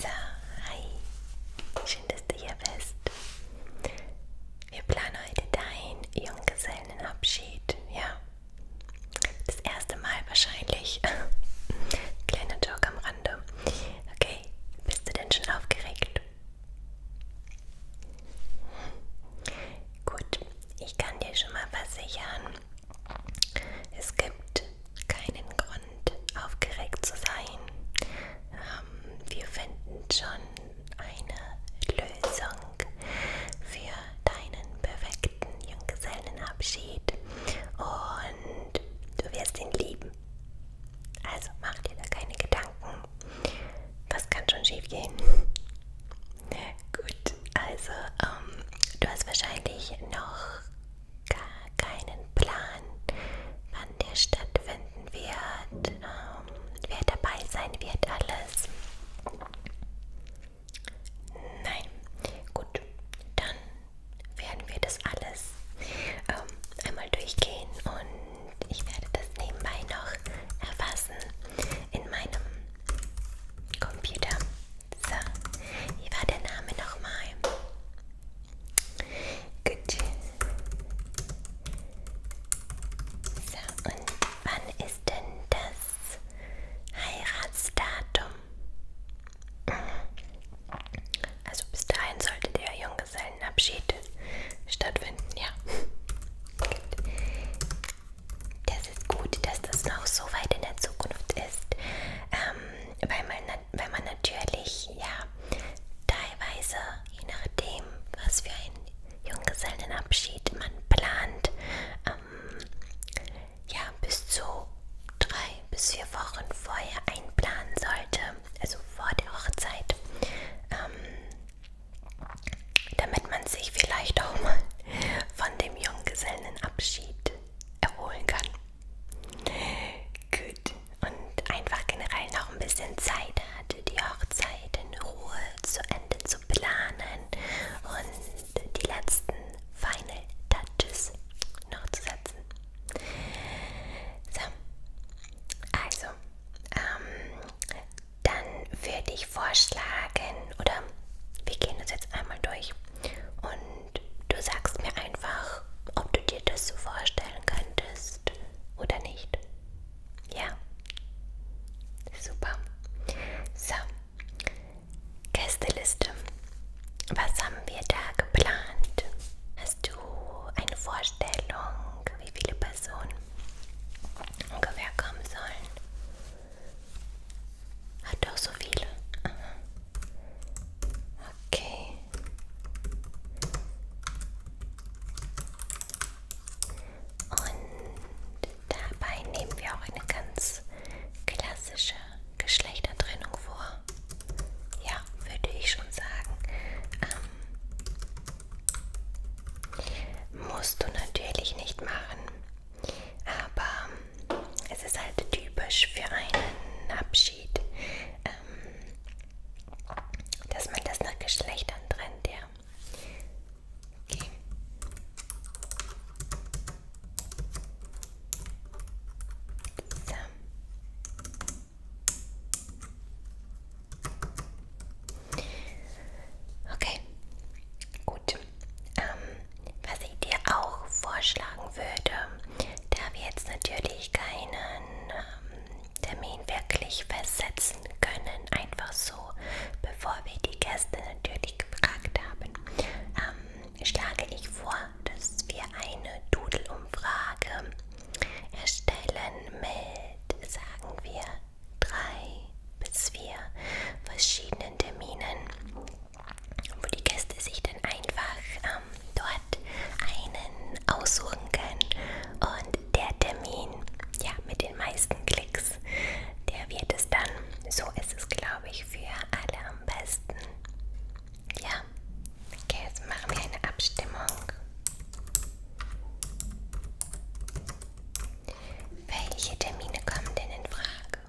So, hi. Schön, dass du hier bist. Wir planen heute deinen Junggesellenabschied. Ja. Das erste Mal wahrscheinlich. Kleiner Joke am Rande. Okay, bist du denn schon aufgeregt? Gut, ich kann dir schon mal versichern, es gibt keinen Grund, aufgeregt zu sein. Ähm, wir finden schon eine Lösung für deinen perfekten Junggesellenabschied und du wirst ihn lieben. Also mach dir da keine Gedanken. Was kann schon schief gehen? Gut, also ähm, du hast wahrscheinlich noch gar keinen Plan, wann der stattfinden wird, ähm, wer dabei sein wird, alles. Nein, gut, dann werden wir das alles ähm, einmal durchgehen und ich werde das nebenbei noch erfassen in meinem Computer. So, wie war der Name nochmal? Gut. So, und wann ist denn das Heiratsdatum? Also bis dahin sollte der Junggesellenabschied stattfinden, ja. Gut. Das ist gut, dass das noch so weit in der Zukunft ist, ähm, weil, man, weil man natürlich, ja, teilweise, je nachdem, was für einen Junggesellenabschied man plant, ähm, ja, bis zu drei bis vier Wochen vorher einplanen sollte, also vor der Hochzeit. Ähm, damit man sich vielleicht auch mal von dem Junggesellenabschied erholen kann. Gut, und einfach generell noch ein bisschen Zeit hatte, die Hochzeit in Ruhe zu Ende zu planen und die letzten Final Touches noch zu setzen. So, also, ähm, dann würde ich vorschlagen, oder wir gehen das jetzt einmal durch und du sagst mir einfach, ob du dir das so vorstellen könntest oder nicht. Ja? Super. So, Gästeliste. Was haben wir da geplant? Hast du eine Vorstellung, wie viele Personen ungefähr kommen sollen? Hat doch so viele. Aha. Okay. Und dabei nehmen wir auch eine ganz klassische Geschlechtertrennung vor. Ja, würde ich schon sagen. Ähm, musst du natürlich nicht machen. Aber ähm, es ist halt typisch für einen Abschied, ähm, dass man das nach Geschlechtern trennt, ja. Okay. So. Okay, gut. Ähm, was ich dir auch vorschlagen würde, da wir jetzt natürlich keinen ähm, Termin wirklich versetzen können, einfach so, bevor wir die Gäste natürlich gefragt haben, ähm, schlage ich vor, dass wir eine Doodle-Umfrage erstellen mit, sagen wir, drei bis vier verschiedenen Terminen, wo die Gäste sich dann einfach ähm, dort einen aussuchen können. Und der Termin, ja, mit den meisten Klicks, der wird es dann. So ist es, glaube ich, für alle am besten. Ja, okay, jetzt machen wir eine Abstimmung. Welche Termine kommen denn in Frage?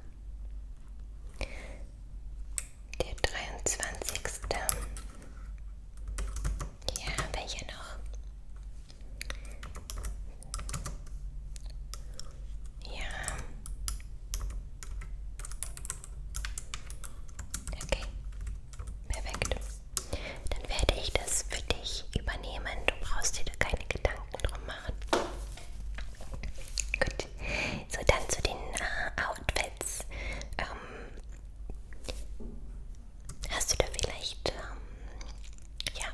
Der 23. Ja, welcher noch? Ja. Okay. Perfekt dann werde ich das für dich übernehmen. Du brauchst dir da keine Gedanken drum machen. Gut. So, dann zu den äh, Outfits. Ähm, hast du da vielleicht ähm, ja,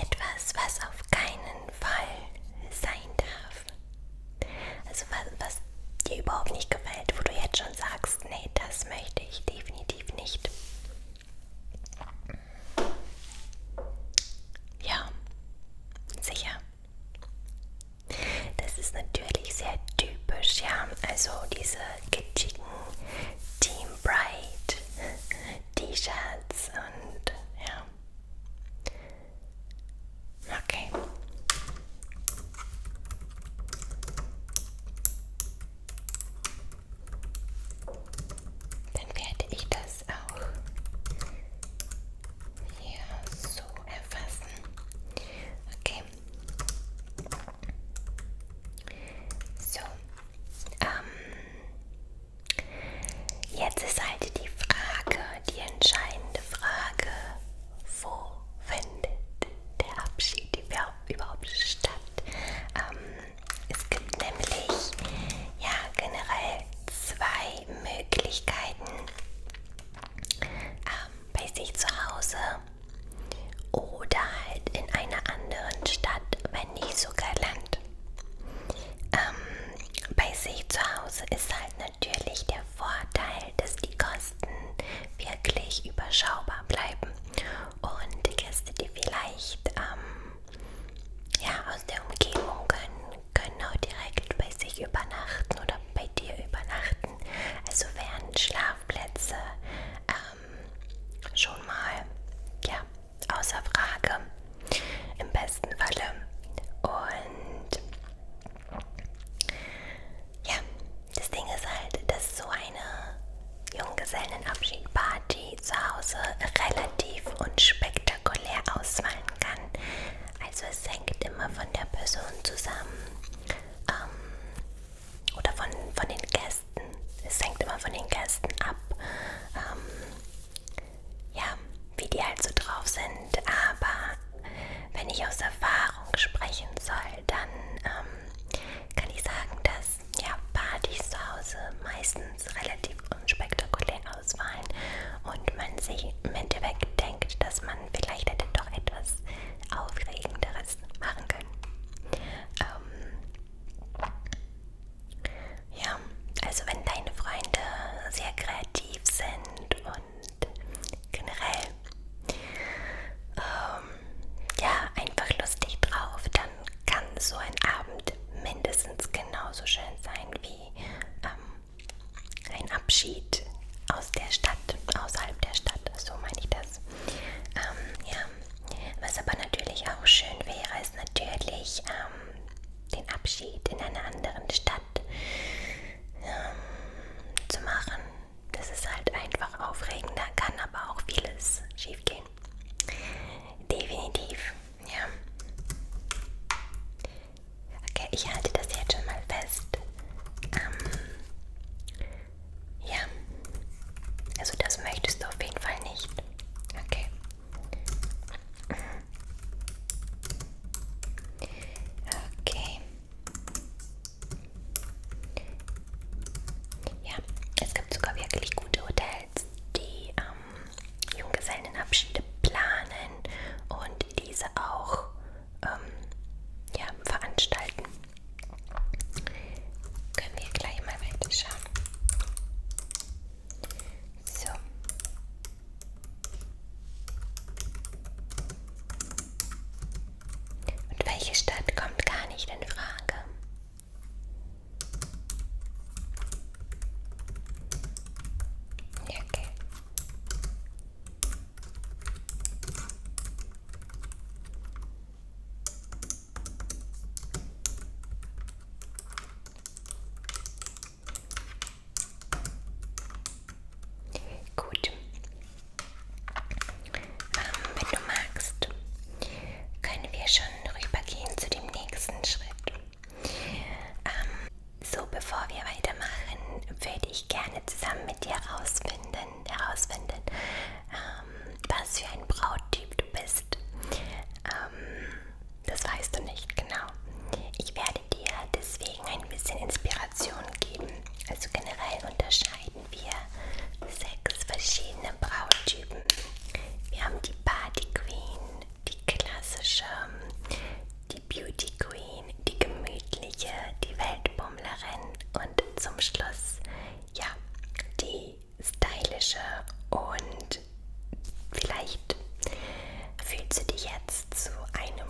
etwas, was auf keinen Fall sein darf? Also was, was dir überhaupt nicht gefällt, wo du jetzt schon sagst, nee, das möchte ich definitiv nicht. Ja, sicher. Das ist natürlich sehr typisch, ja. Also diese kitschigen Team Bright T-Shirts und ja. Okay. Dann werde ich das auch hier so erfassen. Okay. So. Ähm, jetzt ist halt die Frage, die entscheidende Frage, wo findet der Abschied überhaupt statt? Ähm, es gibt nämlich ja generell zwei Möglichkeiten ähm, bei sich zu Hause oder halt in einer anderen Stadt, wenn nicht sogar Land. Ähm, bei sich zu Hause ist halt natürlich der Vorteil, dass die Kosten wirklich überschaubar bleiben und die Gäste, die vielleicht ähm, ja, aus der Umgebung können, können auch direkt bei sich übernachten oder bei dir übernachten. Also wären Schlafplätze ähm, schon mal ja, außer Frage im besten Falle. Und ja, das Ding ist halt, dass so eine Junggesellenabschied-Party zu Hause relativ unspektakulär ausfallen kann. Also es hängt immer von der Person zusammen ähm, oder von, von den Gästen. Es hängt immer von den Gästen ab. Ähm, ja, wie die halt so drauf sind. Aber wenn ich aus Erfahrung sprechen soll, dann ähm, kann ich sagen, dass ja, Partys zu Hause meistens relativ unspektakulär ausfallen und man sich im Endeffekt denkt, dass man vielleicht hätte doch etwas Aufregenderes machen können. Ähm, ja, also wenn deine Freunde sehr kreativ sind und generell ähm, ja, einfach lustig drauf, dann kann so ein Abend mindestens genauso schön sein wie ähm, ein Abschied aus der Stadt, außerhalb der Stadt, so meine ich das. Ähm, ja. Was aber natürlich auch schön wäre, ist natürlich ähm, den Abschied in einer anderen Stadt ähm, zu machen das ist halt einfach aufregend, da kann aber auch vieles schief gehen. Definitiv, ja. Okay, ich halte das jetzt schon mal fest. Ähm, ja, also das möchtest du auf jeden Fall nicht. Okay. Okay. Ja, es gibt sogar wirklich gute Hotels, die ähm, Junggesellenabschiede planen und diese auch ähm, ja, veranstalten. Können wir gleich mal weiter schauen. So. Und welche Stadt kommt gar nicht in Frage? Okay. Gut, ähm, wenn du magst, können wir schon rübergehen zu dem nächsten Schritt. Ähm, so, bevor wir weitermachen, würde ich gerne zusammen mit dir herausfinden, herausfinden ähm, was für ein Brauttyp du bist. Ähm, das weißt du nicht genau. Ich werde dir deswegen ein bisschen Inspiration geben, also generell unterscheiden unterscheiden wir sechs verschiedene Brauttypen. Wir haben die Party Queen, die klassische, die Beauty Queen, die gemütliche, die Weltbummlerin und zum Schluss, ja, die stylische und vielleicht fühlst du dich jetzt zu einem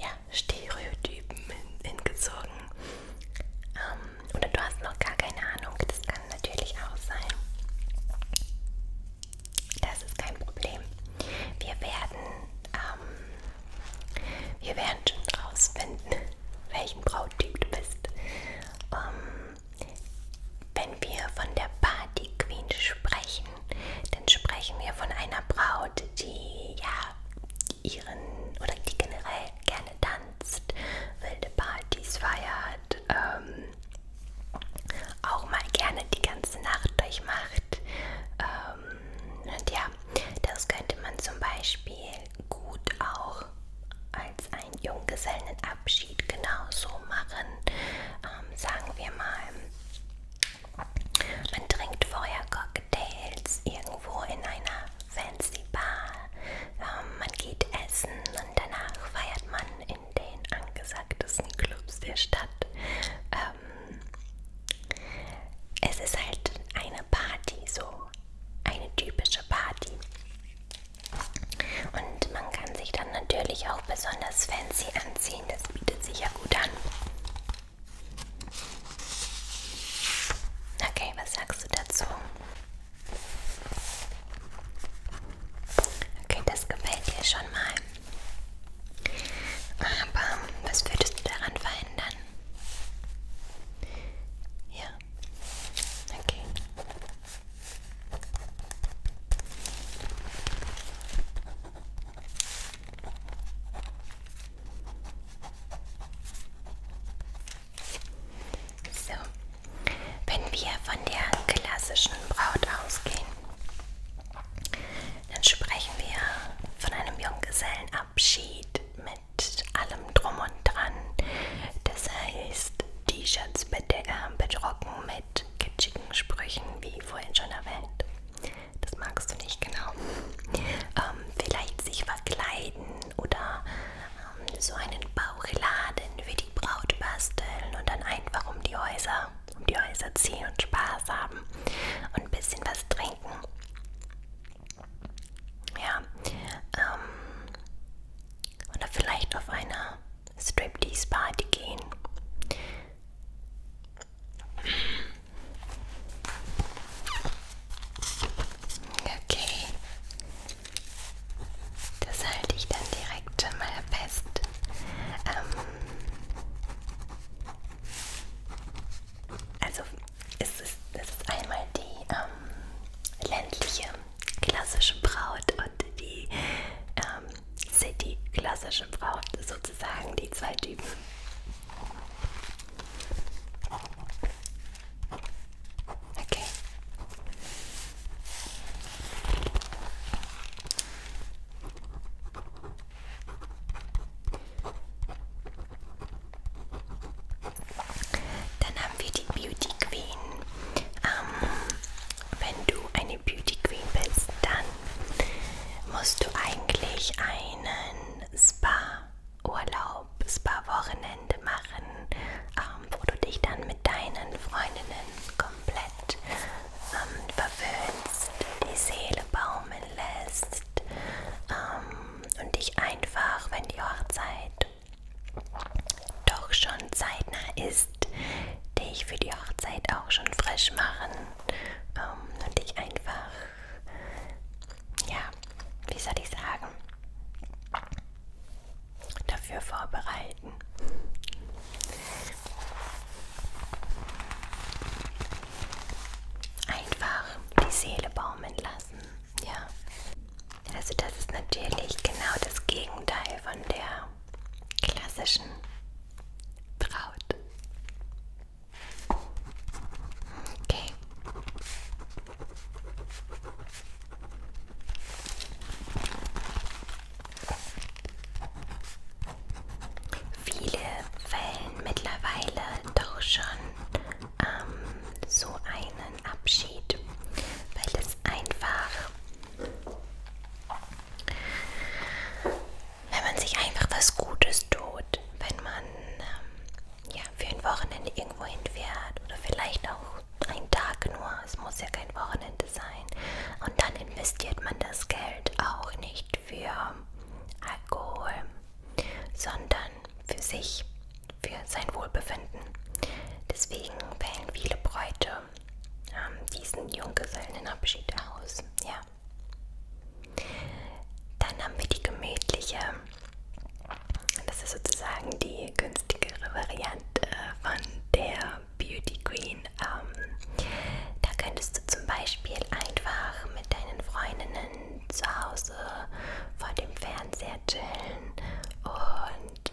ja, Stereotypen hingezogen. Ähm, oder du hast noch gar keine Ahnung. Das kann natürlich auch sein. Das ist kein Problem. Wir werden, ähm, wir werden schon rausfinden, welchen Brauttyp du bist. Ähm, wenn wir von der Party Queen sprechen, dann sprechen wir von einer Braut Braut, die ja ihren oder die generell gerne tanzt, wilde Partys feiert, ähm, auch mal gerne die ganze Nacht durchmacht. Ähm, und ja, das könnte man zum Beispiel gut auch als einen Junggesellenabschied genauso machen. Ähm, sagen wir mal, man trinkt vorher Cocktails Cocktails irgendwo in einer fancy Bar. Ähm, man geht essen und danach feiert man in den angesagtesten Clubs der Stadt. Ähm, es ist halt eine Party, so eine typische Party. Und man kann sich dann natürlich auch besonders fancy anziehen, das bietet sich ja gut an. Okay, was sagst du dazu? Okay, das gefällt dir schon mal. Aber was würdest du daran verändern? Ja. Okay. So, wenn wir von der klassischen Braut ausgehen, dann sprechen wir von einem Junggesellenabschied mit allem Drum und Dran. Das heißt, T-Shirts äh, bedrucken mit kitschigen Sprüchen, wie vorhin schon erwähnt. Das magst du nicht genau. Ähm, vielleicht sich verkleiden oder ähm, so einen Bauchladen für die Braut basteln und dann einfach um die Häuser, um die Häuser ziehen und Spaß haben und ein bisschen was trinken. Ja. Ähm, oder vielleicht auf eine Striptease-Party gehen. Okay. Das halte ich dann direkt schon mal fest. Ähm also es ist, es ist einmal die ähm, ländliche klassische Braut und die ähm, City klassische Braut sozusagen, die zwei Typen. Okay. Dann haben wir die Beauty Queen. Ähm, wenn du eine Beauty Queen bist, dann musst du eigentlich einen Spa Urlaub, Spa-Wochenende machen, ähm, wo du dich dann mit deinen Freundinnen komplett ähm, verwöhnst, die Seele baumeln lässt ähm, und dich einfach, wenn die Hochzeit doch schon zeitnah ist, dich für die Hochzeit auch schon frisch machen ähm, und dich einfach ja, wie soll ich sagen, dafür vorbereiten. Einfach die Seele baumeln lassen, ja. Also das ist natürlich genau das Gegenteil von der klassischen Braut. Okay. Viele wählen mittlerweile doch schon ähm, so einen Abschied, weil es einfach wenn man sich einfach was Gutes tut, wenn man ähm, ja, für ein Wochenende irgendwo hinfährt oder vielleicht auch einen Tag nur, es muss ja kein Wochenende sein. Und dann investiert man das Geld auch nicht für Alkohol, sondern für sich, für sein Wohlbefinden. Deswegen wählen viele Bräute ähm, diesen Junggesellenabschied aus. Ja. Dann haben wir die gemütliche, das ist sozusagen die günstigere Variante äh, von der Beauty Queen. Ähm, da könntest du zum Beispiel einfach mit deinen Freundinnen zu Hause vor dem Fernseher chillen und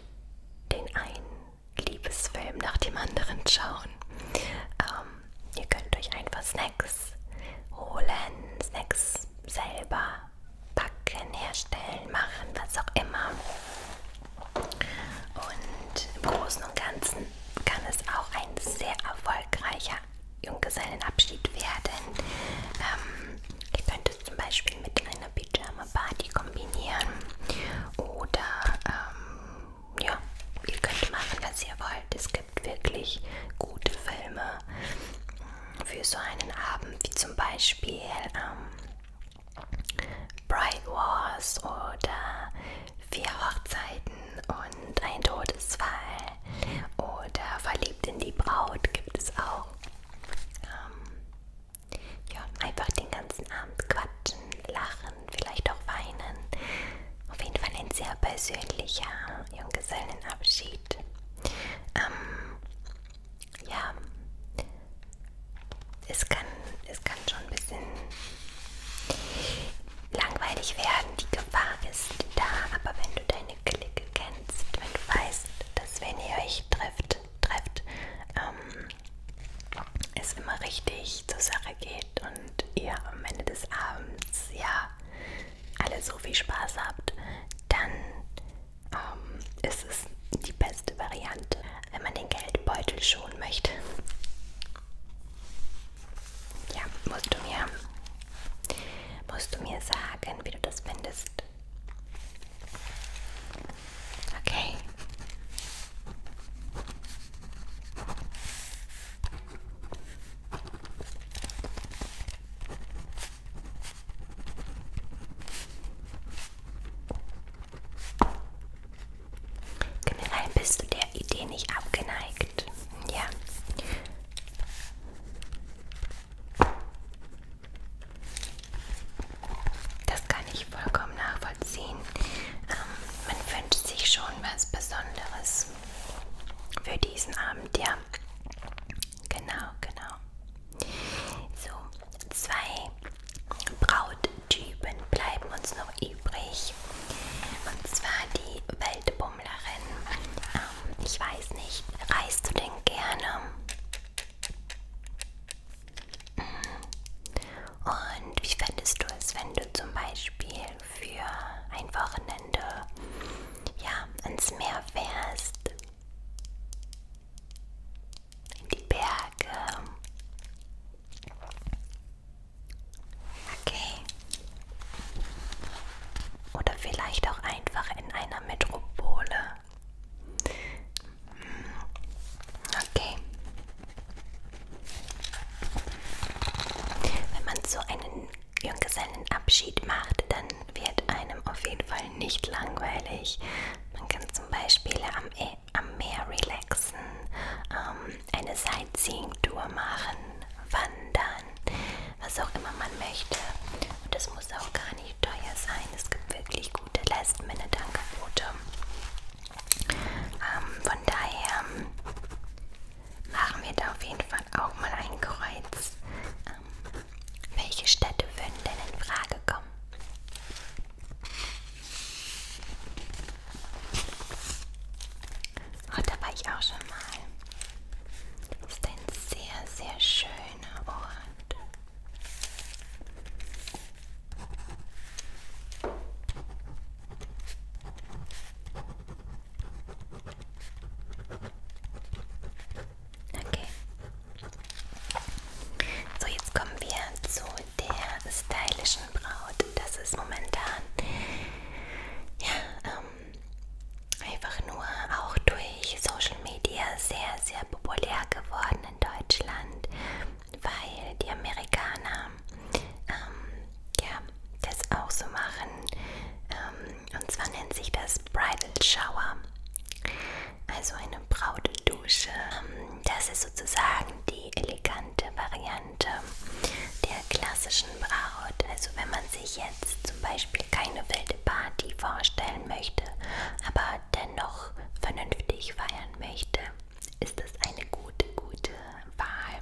den einen Liebesfilm nach dem anderen schauen. Ähm, ihr könnt euch einfach Snacks Snacks holen, Snacks selber backen, herstellen, machen, was auch immer. Und im Großen und Ganzen kann es auch ein sehr erfolgreicher Junggesellenabschied werden. Ähm, ich könnte es zum Beispiel mit einer Pyjama-Party kombinieren oder ähm, ja, ihr könnt machen, was ihr wollt. Es gibt wirklich gute Filme für so einen Abend, wie zum Beispiel ähm, Bride Wars oder Vier Hochzeiten und ein Todesfall oder Verliebt in die Braut gibt es auch. Ähm, ja, einfach den ganzen Abend quatschen, lachen, vielleicht auch weinen. Auf jeden Fall ein sehr persönlicher Junggesellenabschied. Ähm, ja, es kann, es kann schon ein bisschen langweilig werden. Die Gefahr ist da, aber wenn du deine Clique kennst, wenn du weißt, dass wenn ihr euch trifft, trefft, ähm, es immer richtig zur Sache geht besprecht und ihr am Ende des Abends ja alle so viel Spaß habt, dann ähm, ist es die beste Variante, wenn man den Geldbeutel schonen möchte. Ja, musst du mir, musst du mir sagen, wie du das findest. Okay. Generell bist du der Idee nicht abgeneigt. Ja. Das kann ich vollkommen nachvollziehen. Ähm, man wünscht sich schon was Besonderes für diesen Abend, ja. Genau, genau. So, zwei Brauttypen bleiben uns noch übrig. Und zwar die Weltbummlerin. Ähm, ich weiß nicht, reist du denn gerne? Mhm. Und wie fändest du es, wenn du zum Beispiel für ein Wochenende ja, ans Meer fährst, in die Berge. Okay. Oder vielleicht auch einfach in einer Metropole. Hm. Okay, wenn man so einen Junggesellenabschied macht, dann wird einem auf jeden Fall nicht langweilig. Man kann zum Beispiel am, e am Meer relaxen, ähm, eine Sightseeing-Tour machen, wandern, was auch immer man möchte. Und das muss auch gar nicht teuer sein. Es gibt wirklich gute Last-Minute-Angebote. Ähm, von daher machen wir da auf jeden Fall auch mal ein Kreuz. Ähm, welche Städte würden denn in Frage kommen? Oh, da war ich auch schon mal. Das ist ein sehr, sehr schöner Ort. Okay. So, jetzt kommen wir zu der stylischen Braut. Das ist momentan ja, ähm, einfach nur auch durch Social Media sehr, sehr populär geworden in Deutschland weil die Amerikaner ähm, ja, das auch so machen. Ähm, und zwar nennt sich das Bridal Shower, also eine Brautdusche. Ähm, das ist sozusagen die elegante Variante der klassischen Braut. Also wenn man sich jetzt zum Beispiel keine wilde Party vorstellen möchte, aber dennoch vernünftig feiern möchte, ist das eine gute, gute Wahl.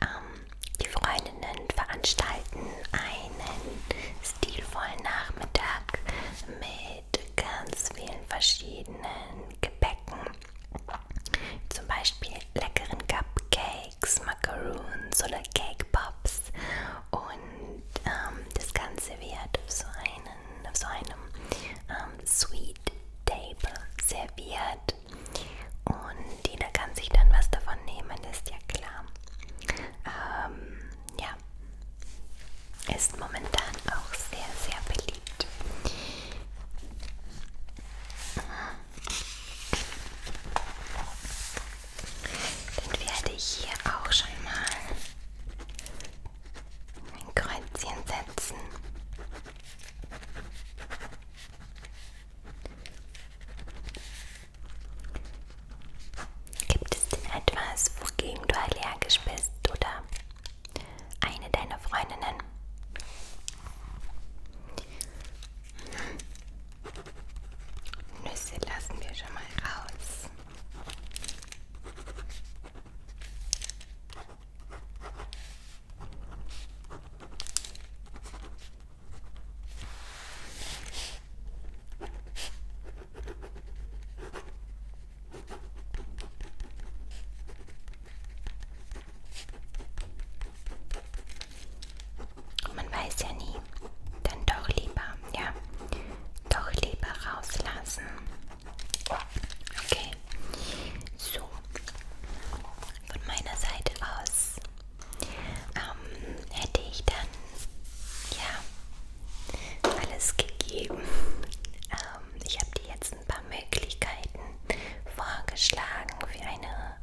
Ähm, die Freundinnen veranstalten einen stilvollen Nachmittag mit ganz vielen verschiedenen Gebäcken. Zum Beispiel leckeren Cupcakes, Macaroons oder Cake Pops. Und ähm, das Ganze wird auf so, einen, auf so einem ähm, am Sweet Table serviert. Und jeder kann sich dann was davon nehmen, ist ja klar. Ähm, ja, ist momentan auch sehr, sehr beliebt. Dann werde ich hier auch schon mal ein Kreuzchen setzen. Gibt es denn etwas, wogegen du allergisch bist oder eine deiner Freundinnen? Nüsse lassen wir schon mal raus. Man weiß ja nie. Dann doch lieber, ja, doch lieber rauslassen. Okay, so von meiner Seite aus ähm, hätte ich dann ja alles gegeben. Ähm, ich habe dir jetzt ein paar Möglichkeiten vorgeschlagen für eine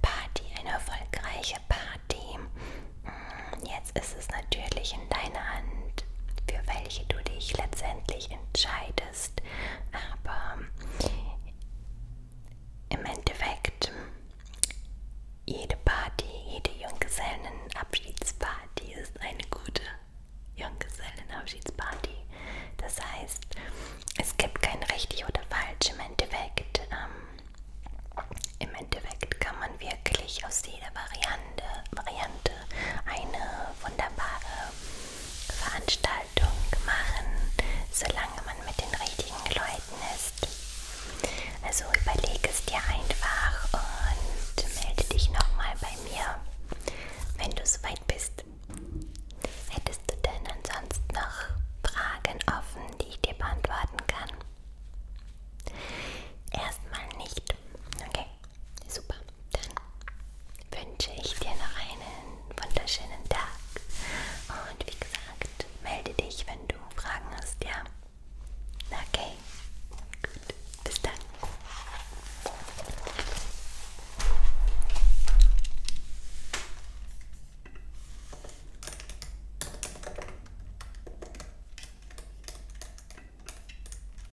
Party, eine erfolgreiche Party. Hm, jetzt ist es natürlich in deiner Hand, für welche du dich letztendlich entscheidest möchtest. Aber im Endeffekt, jede Party, jede Junggesellenabschiedsparty ist eine gute Junggesellenabschiedsparty. Das heißt, es gibt kein richtig oder falsch im Endeffekt. Ähm, Im Endeffekt kann man wirklich aus jeder Variante, Variante eine wunderbare ähm, Veranstaltung machen, solange man mit den richtigen Leuten ist. Also überleg es dir einfach und melde dich nochmal bei mir, wenn du soweit bist. Hättest du denn ansonsten noch Fragen offen, die ich dir beantworten kann? Erstmal nicht. Okay. Super. Dann wünsche ich dir noch einen wunderschönen Tag. Und wie gesagt, melde dich, wenn du Fragen hast, ja? Okay. Gut. Bis dann.